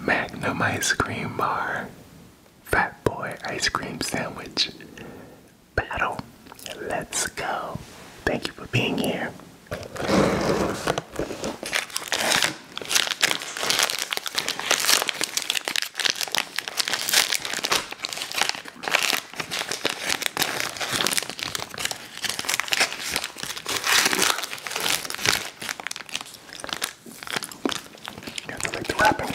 Magnum ice cream bar, Fat Boy ice cream sandwich, battle. Let's go. Thank you for being here. You have to like the wrapping.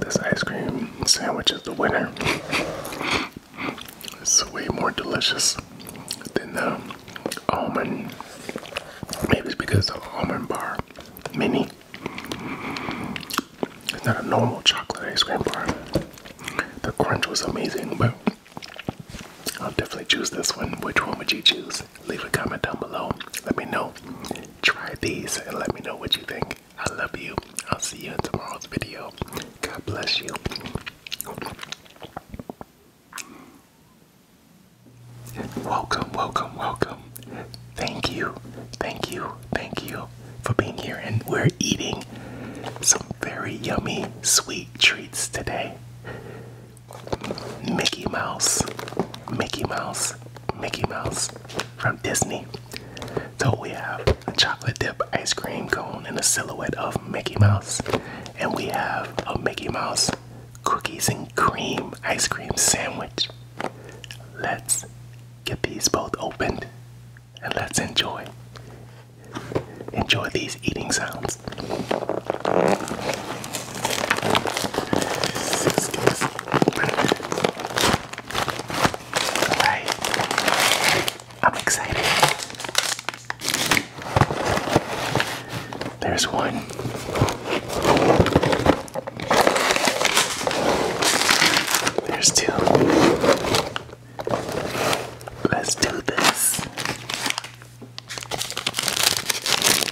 This ice cream sandwich is the winner. It's way more delicious than the almond. Maybe it's because the almond bar mini. It's not a normal chocolate ice cream bar. The crunch was amazing, but I'll definitely choose this one. Which one would you choose? leave a comment down below. Let me know. Try these and let me know what you think. I love you. I'll see you in tomorrow's video. God bless you. Welcome, welcome, welcome. Thank you, thank you, thank you for being here. And we're eating some very yummy, sweet treats today. Mickey Mouse, Mickey Mouse, Mickey Mouse from Disney. So we have a chocolate dip ice cream cone and a silhouette of Mickey Mouse, and we have a Mickey Mouse cookies and cream ice cream sandwich. Let's get these both opened and let's enjoy. Enjoy these eating sounds. Six, I'm excited. There's one. There's two. Let's do this. Wow.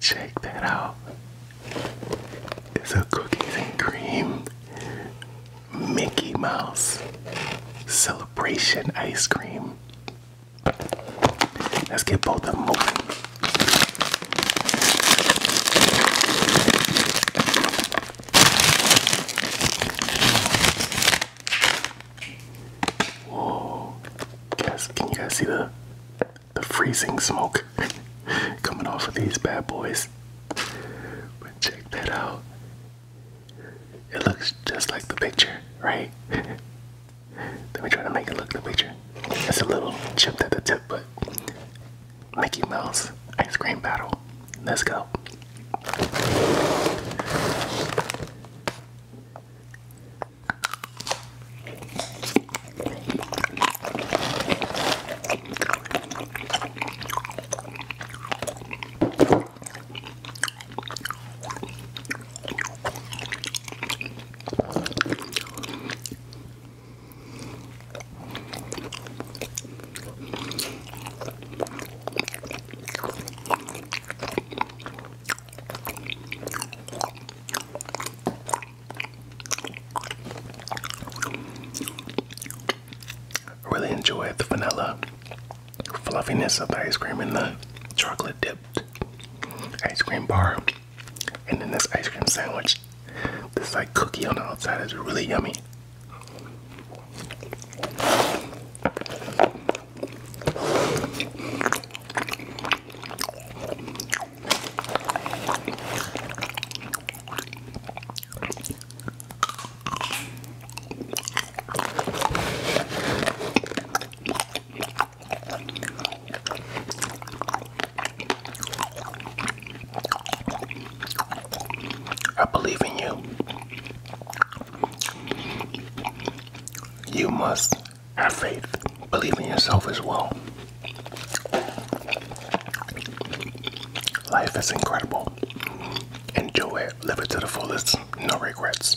Check that out. It's a cookies and cream Mickey Mouse celebration ice cream. Let's get both of them moving. Whoa. Guys, can you guys see the the freezing smoke coming off of these bad boys? But check that out. It looks just like the picture, right? Let me try to make it look the picture. It's a little chipped at the tip, but Mickey Mouse ice cream battle. Let's go. Really enjoyed the vanilla fluffiness of the ice cream and the chocolate dipped ice cream bar, and then this ice cream sandwich. This like cookie on the outside is really yummy. I believe in you. You must have faith. Believe in yourself as well. Life is incredible. Enjoy it. Live it to the fullest. No regrets.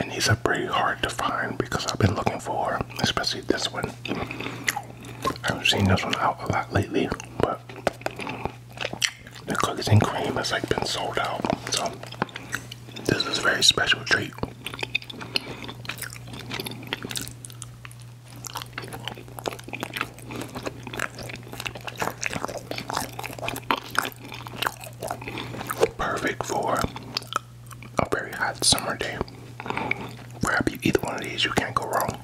and these are pretty hard to find because I've been looking for, especially this one. I've seen this one out a lot lately, but the cookies and cream has like been sold out. So this is a very special treat. Perfect for a very hot summer day. Grab you either one of these, you can't go wrong.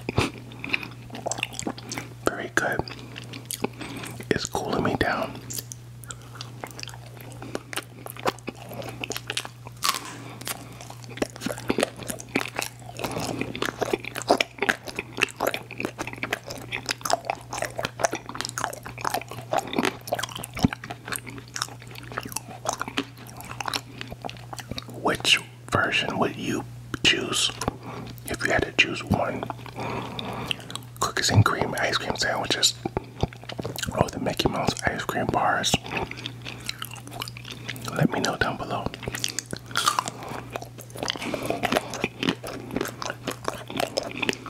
Very good. It's cooling me down. Which version would you choose if you had to choose one? Cookies and cream ice cream sandwiches or the Mickey Mouse ice cream bars? Let me know down below.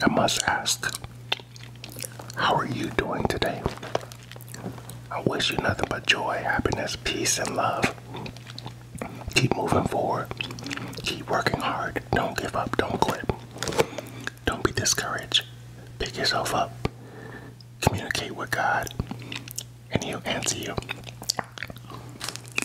I must ask, how are you doing today? I wish you nothing but joy, happiness, peace, and love. Keep moving forward. Keep working hard. Don't give up. Don't quit. Don't be discouraged. Pick yourself up. Communicate with God, and He'll answer you.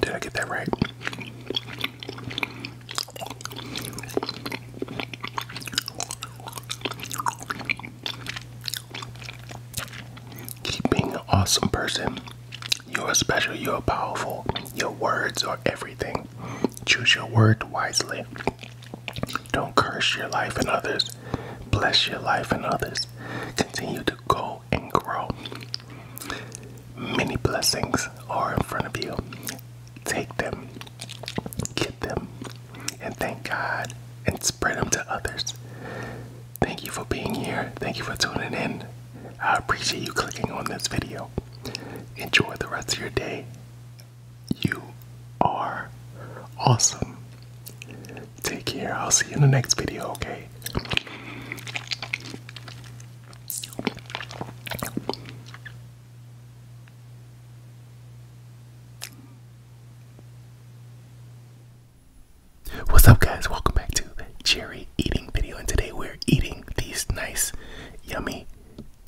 Did I get that right? Keep being an awesome person. You're special, you're powerful. Your words are everything. Choose your word wisely. Don't curse your life and others. Bless your life and others. Continue to go and grow. Many blessings are in front of you. Take them, get them, and thank God and spread them to others. Thank you for being here. Thank you for tuning in. I appreciate you clicking on this video. Enjoy the rest of your day. You are awesome. Take care. I'll see you in the next video, okay? What's up, guys? Welcome back to the Cherry Eating video, and today we're eating these nice, yummy,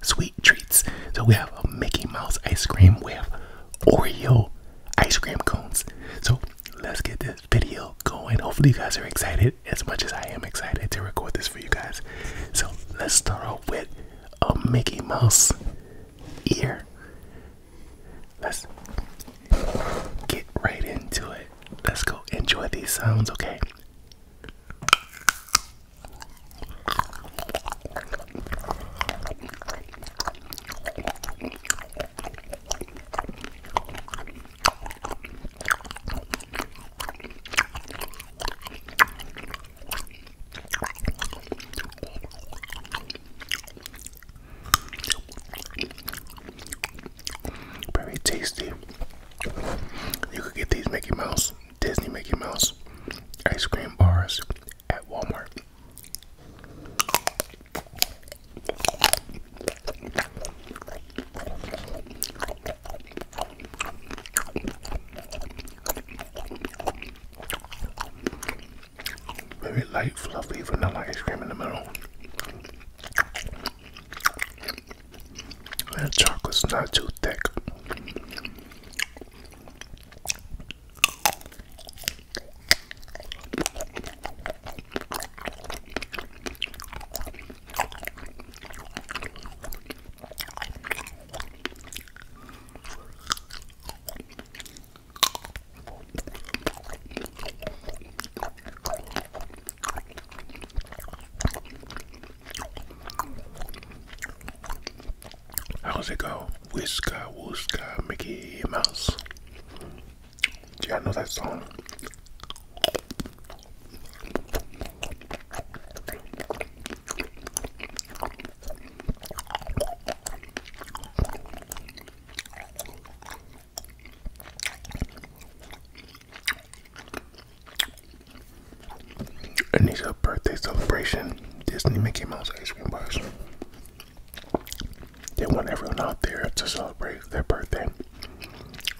sweet treats. So, we have a Mickey Mouse ice cream, with Oreo ice cream cones. So, let's get this video going. Hopefully, you guys are excited as much as I am excited to record this for you guys. So, let's start off with a Mickey Mouse ear. Let's get right into it. Let's go enjoy these sounds, okay? Very tasty. You could get these Mickey Mouse, Disney Mickey Mouse ice cream bars at Walmart. Very light, fluffy vanilla ice cream in the middle. And the chocolate's not too thick. How's it go? Whisker, Wooska, Mickey Mouse. Do you know that song? a birthday celebration Disney Mickey Mouse ice cream bars. They want everyone out there to celebrate their birthday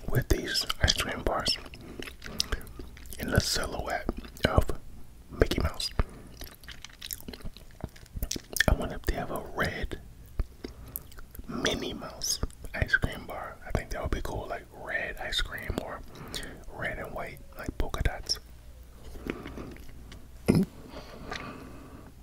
with these ice cream bars in the silhouette of Mickey Mouse. I wonder if they have a red Minnie Mouse ice cream bar. I think that would be cool, like red ice cream or red and white, like polka dots.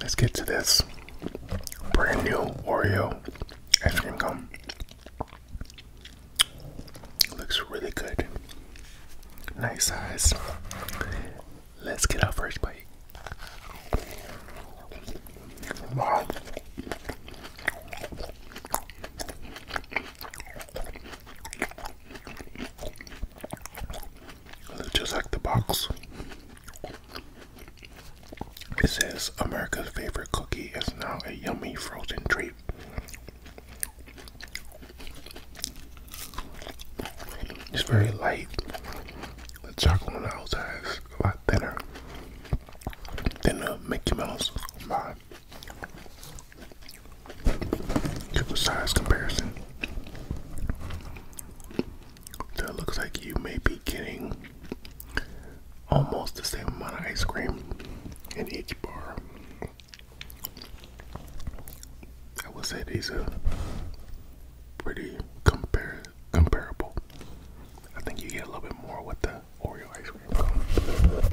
Let's get to this brand new Oreo ice cream cone. Looks really good. Nice size. Let's get our first bite. Just like the box. This is America's favorite cookie is now a yummy frozen treat. It's very light. The chocolate on the outside is a lot thinner than the Mickey Mouse vibe. Give a size comparison. That looks like you may be getting almost the same amount of ice cream in each bar. I would say these are pretty compar comparable. I think you get a little bit more with the Oreo ice cream.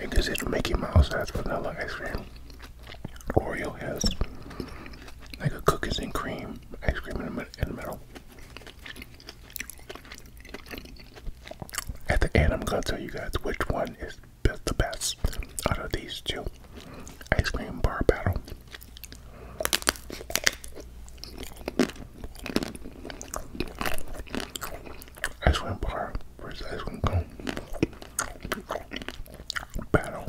It is it Mickey Mouse has vanilla ice cream. Oreo has like a cookies and cream ice cream in the middle. At the end, I'm gonna tell you guys which one is the best out of these two ice cream bar battle. Ice cream bar versus ice cream cone battle.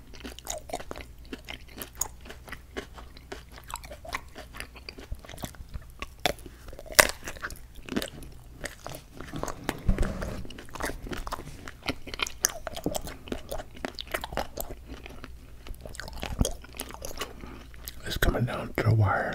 It's coming down to the wire.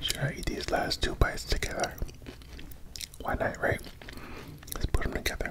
Should I eat these last two bites together? Why not, right? Let's put them together.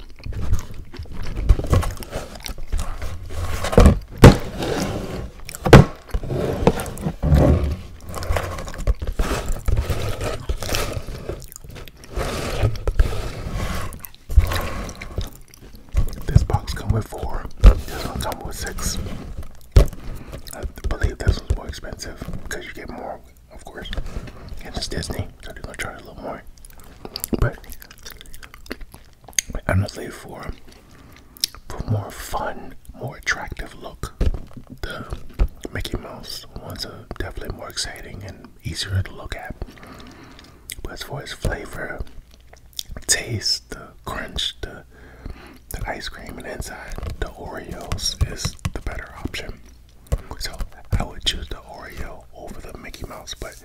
This box comes with four. This one comes with six. I believe this one's more expensive because you get more of course. And it's Disney, so they're gonna charge a little more. But honestly, for for more fun, more attractive look, the Mickey Mouse ones are definitely more exciting and easier to look at. But as for its flavor, taste, the crunch, the the ice cream and inside the Oreos is the better option. So I would choose the Oreo over the Mickey Mouse, but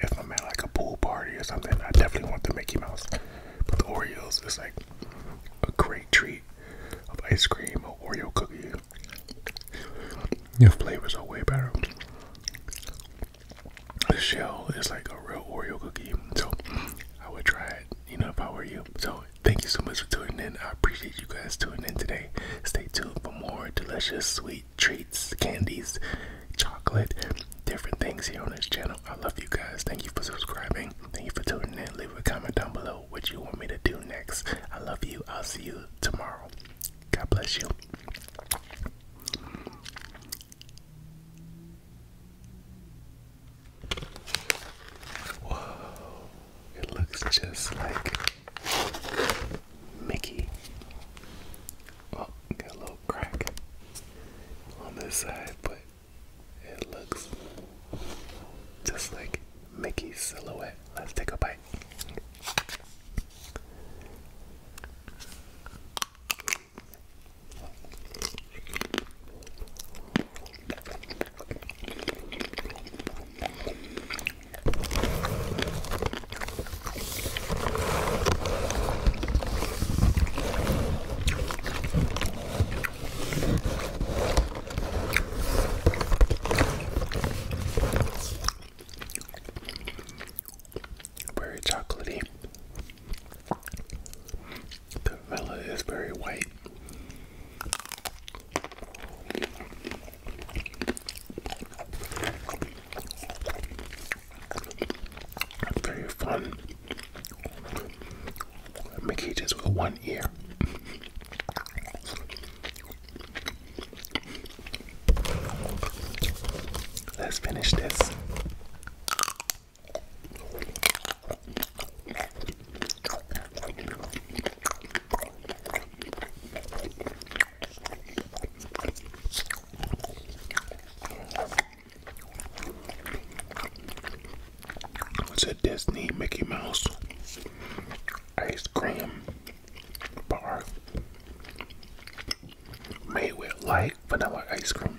if I'm at like a pool party or something, I definitely want the Mickey Mouse. But the Oreos is like a great treat of ice cream or Oreo cookie. Your flavors are way better. The shell is like a real Oreo cookie, so I would try it, you know, if I were you. So thank you so much for tuning in. I appreciate you guys tuning in today. Stay tuned for more delicious, sweet treats, candies, chocolate, different things here on this channel. I love you guys. Thank you for subscribing. Thank you for tuning in. Leave a comment down below what you want me to do next. I love you. I'll see you tomorrow. God bless you. Whoa, it looks just like Mickey. Oh, got a little crack on this side, but it looks just like Mickey's silhouette. Let's take a bite. Very chocolatey. The vanilla is very white. Very fun. Mickey just with one ear. Let's finish this. It's a Disney Mickey Mouse ice cream bar made with light vanilla ice cream.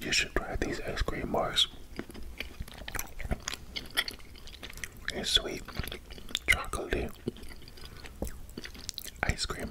You should try these ice cream bars. It's sweet, chocolatey ice cream.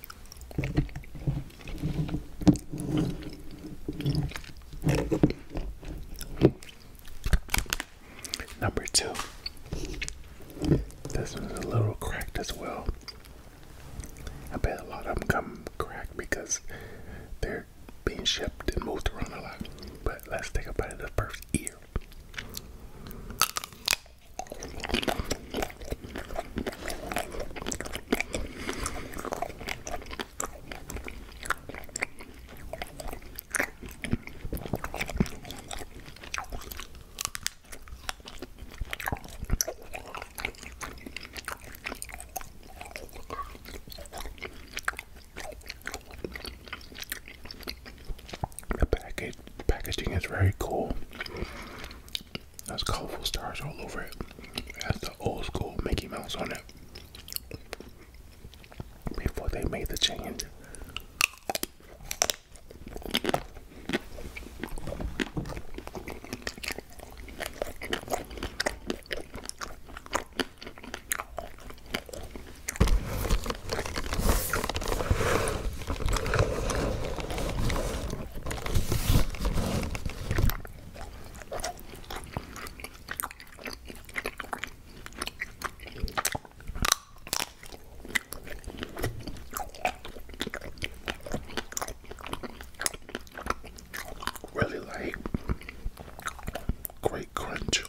Number two. This one's a little cracked as well. I bet a lot of them come cracked because they're being shipped and moved around a lot. But let's take a bite of the first ear. The package packaging is very cool. That's colorful stars all over it. It has the old school Mickey Mouse on it. Before they made the change. Really like great crunch,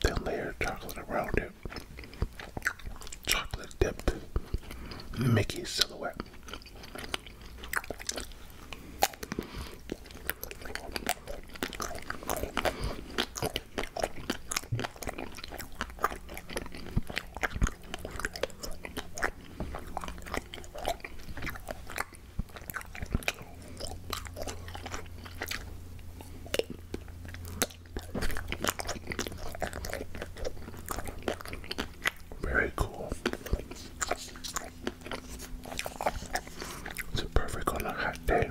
thin layer of chocolate around it chocolate dipped Mickey silhouette. Very cool. It's perfect on a hot day.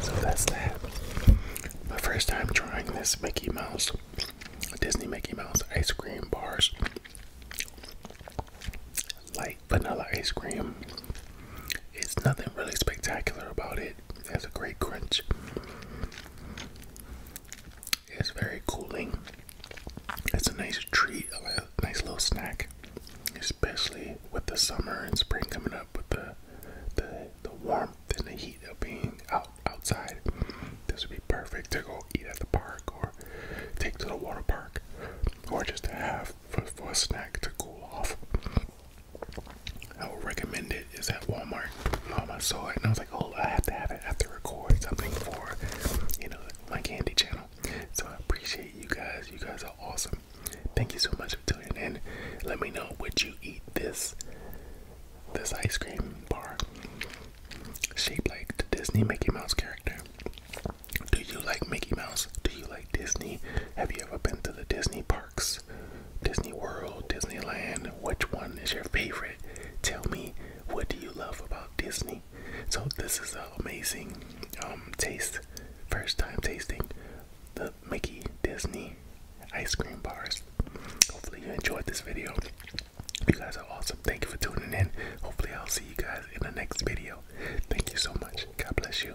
So that's that. My first time trying this Mickey Mouse, Disney Mickey Mouse ice cream bars. Light vanilla ice cream. It's nothing really spectacular about it. It has a great crunch. It's very cooling. It's a nice treat, a nice little snack, especially with the summer and spring coming up with the the, the warmth and the heat of being out outside. This would be perfect to go eat at the park or take to the water park or just have for, for a snack to cool off. I would recommend It's at Walmart. Um, I saw it and oh, I have to have it. I have to record something for, you know, my candy channel. So I appreciate you guys. You guys are awesome. Thank you so much for tuning in. Let me know would you eat this this ice cream bar shaped like the Disney Mickey Mouse character. Do you like Mickey Mouse? Do you like Disney? Have you ever been to the Disney parks? Disney World, Disneyland, which one is your favorite? Tell me what do you love about Disney? So this is an amazing um, taste, first time tasting the Mickey Disney ice cream bars. Hopefully you enjoyed this video. You guys are awesome. Thank you for tuning in. Hopefully I'll see you guys in the next video. Thank you so much. God bless you.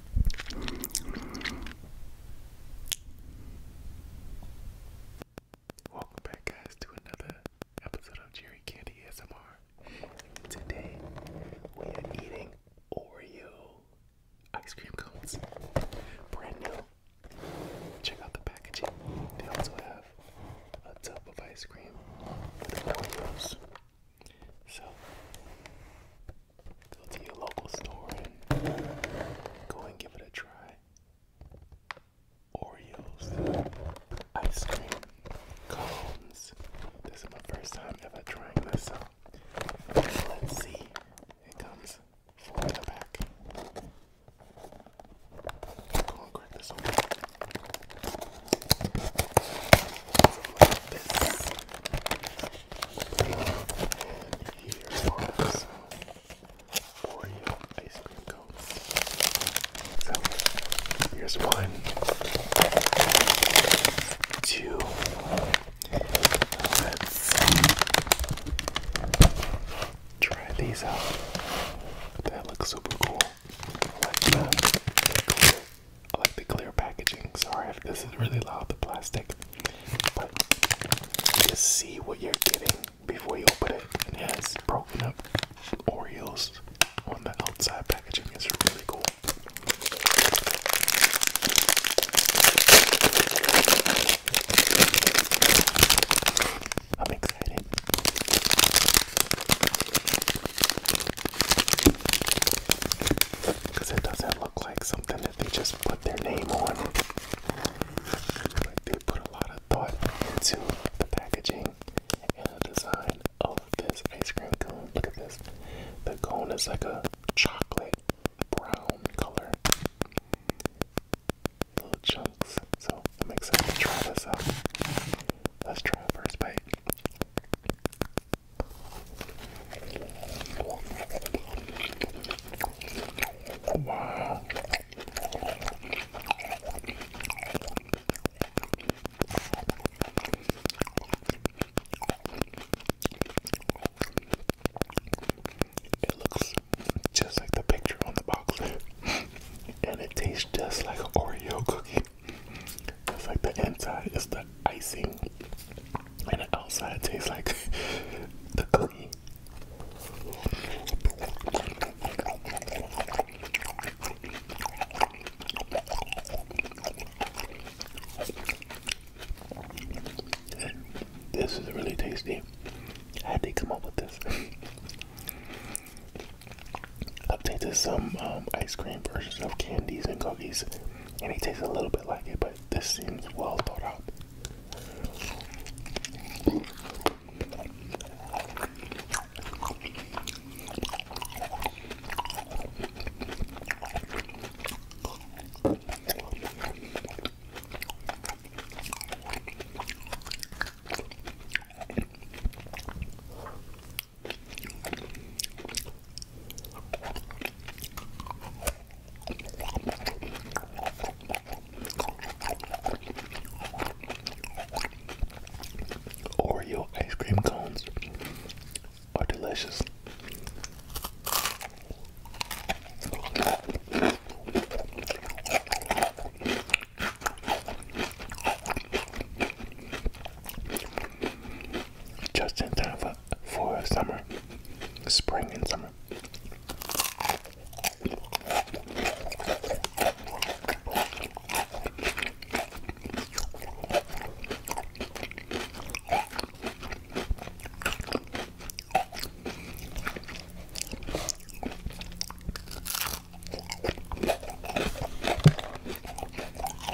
Welcome back, guys, to another episode of Jerry Candy ASMR. Today, we are eating Oreo ice cream cones, brand new. Check out the packaging. They also have a tub of ice cream with Oreos. So, Go to your local store and go and give it a try. Oreos, ice cream, cones. This is my first time ever trying this out. Let's see. It comes four the back. Go and grab this open. Here's Marvel's Oreo ice cream cones. So, here's one, two, let's try these out. That looks super cool. I like that. Cool. I like the clear packaging. Sorry if this is really loud, the plastic. But you just see what you're getting before you open it. And it has broken up Oreos on the outside packaging. It's really cool. I'm excited. Because it doesn't look like something that they just put their name on. Like they put a lot of thought into the packaging and the design of this ice cream cone. Look at this. The cone is like a chocolate brown color. Little chunks. So I'm excited to try this out. Let's try a first bite. Wow. It looks just like the picture on the box, and it tastes just like an Oreo cookie. It's like the inside is the icing, and the outside tastes like the cream. This is really tasty. How'd they come up with this? I've some um, ice cream versions of candies and cookies, and it tastes a little bit like it, but this seems well thought out. Oreo ice cream cones are delicious. Just in time for for summer, spring and summer.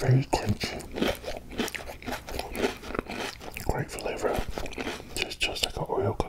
Very crunchy. Great flavor. It's just like an oil cookie.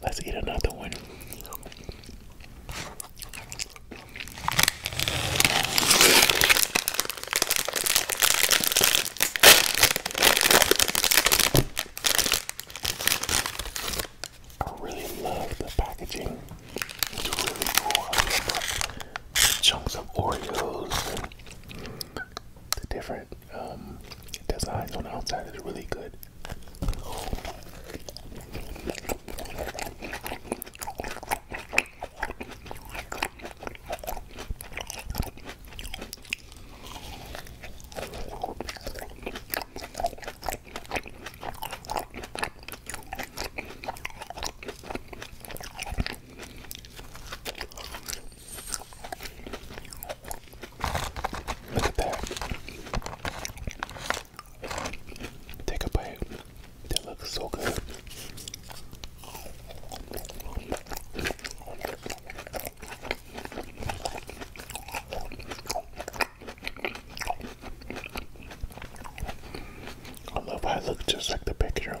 Let's eat another one. I really love the packaging. It's really cool. the chunks of Oreos the different um, designs on the outside. It's really good. Look at that. Take a bite. That looks so good. I love how it just like the picture.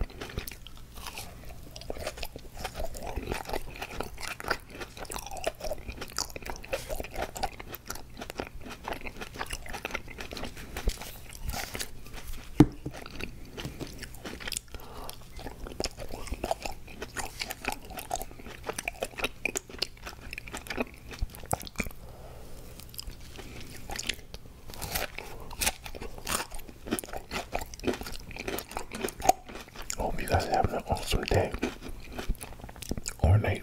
Hope you guys are having an awesome day or night.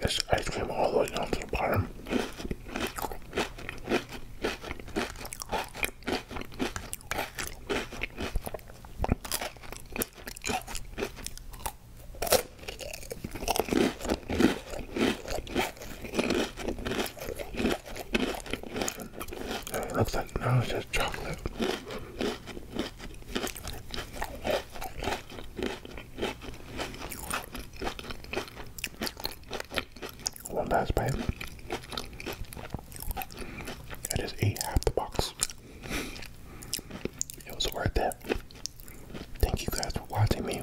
It's ice cream all the way down to the bottom. It looks just chocolate. One last bite. I just ate half the box. It was worth it. Thank you guys for watching me.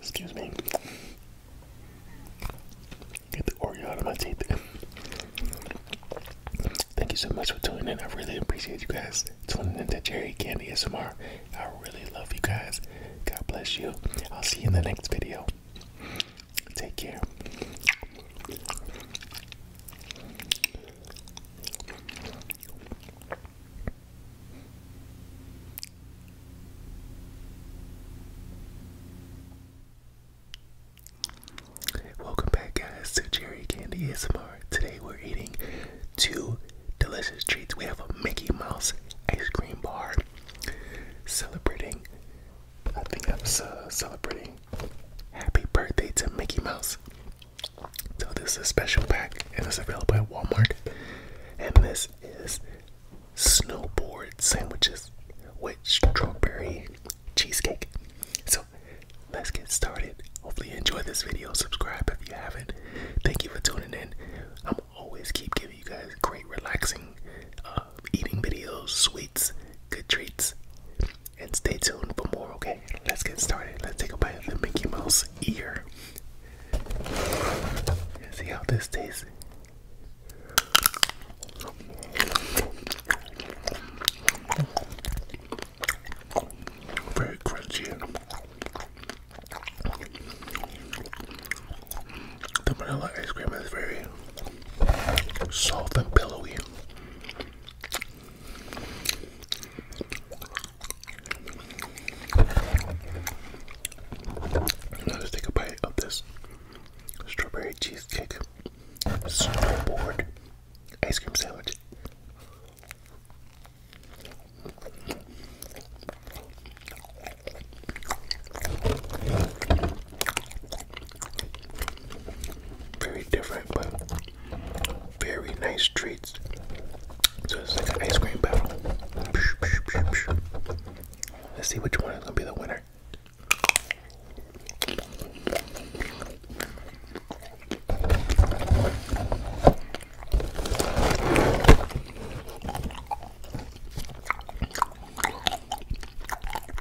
Excuse me. Get the Oreo out of my teeth. Thank you so much for tuning in. I really appreciate you guys tuning into Jerry Candy ASMR. I really love you guys. God bless you. I'll see you in the next video. Take care. Welcome back, guys, to Cherry Candy ASMR. Today we're eating two delicious treats. We have a Mickey Mouse ice cream bar celebrating I think I'm uh, celebrating happy birthday to Mickey Mouse. So this is a special pack and it's available at Walmart. And this is snowboard sandwiches with strawberry cheesecake. So let's get started. Hopefully you enjoyed this video. Subscribe if you haven't. Thank you for tuning in. I'm always keep giving you guys great, relaxing uh, eating videos, sweets, good treats. And stay tuned for more, okay? Let's get started. Let's take a bite of the Mickey Mouse ear. see how this tastes. Very crunchy. The vanilla ice cream is very soft and pillowy. Now let's take a bite of this strawberry cheesecake snowboard ice cream sandwich. Very different, but very nice treats. So it's like an ice cream battle. Let's see which one is gonna be the winner.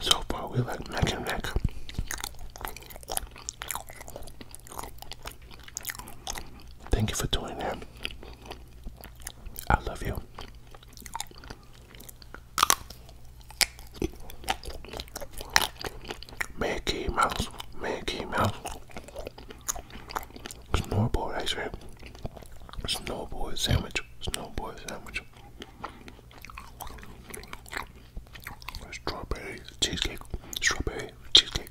So far, we like neck and neck. Thank you for doing that. I love you. Mickey Mouse, Mickey Mouse. Snowboard ice cream. Snowboard sandwich, snowboard sandwich. Strawberry cheesecake, strawberry cheesecake.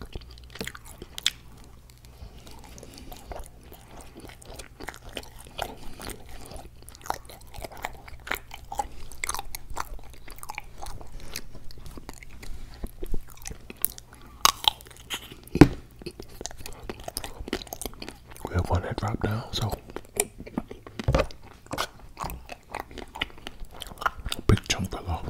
We have one that dropped down, so a big chunk fell off.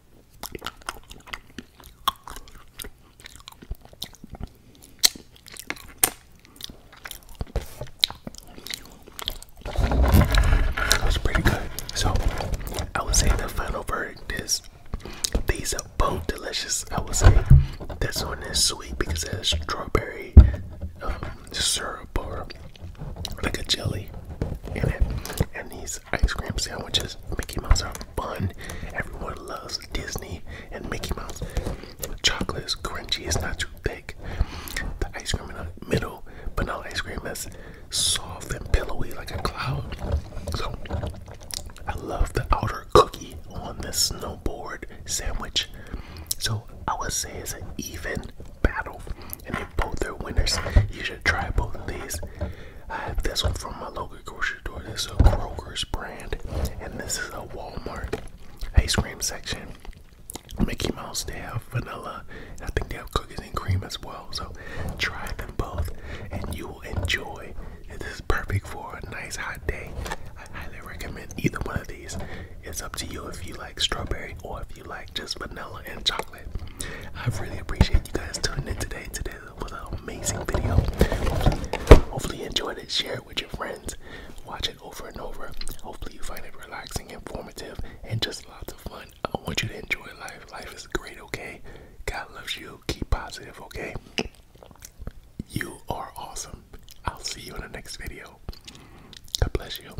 That's pretty good. So I would say the final verdict is these are both delicious. I would say that's one is sweet because it has strawberry um, syrup or like a jelly in it, and these ice cream sandwiches. Mickey Mouse are fun. Everyone loves Disney and Mickey Mouse. Chocolate is crunchy, it's not too thick. The ice cream in the middle, but not ice cream that's soft and pillowy like a cloud. So I love the outer cookie on the snowboard sandwich. So I would say it's an even battle. And if both are winners, you should try both of these. I have this one from my local grocery store. This is a Kroger's brand, and this is a Walmart ice cream section. Mickey Mouse, they have vanilla. I think they have cookies and cream as well. So try them both, and you will enjoy. This is perfect for a nice hot day. I highly recommend either one of these. It's up to you if you like strawberry or if you like just vanilla and chocolate. I really appreciate you guys tuning in today. today it an amazing video. Hopefully, hopefully you enjoyed it. Share it with your friends. Watch it over and over. Hopefully you find it relaxing, informative, and just lots of fun. I want you to enjoy life. Life is great, okay? God loves you. Keep positive, okay? You are awesome. I'll see you in the next video. God bless you.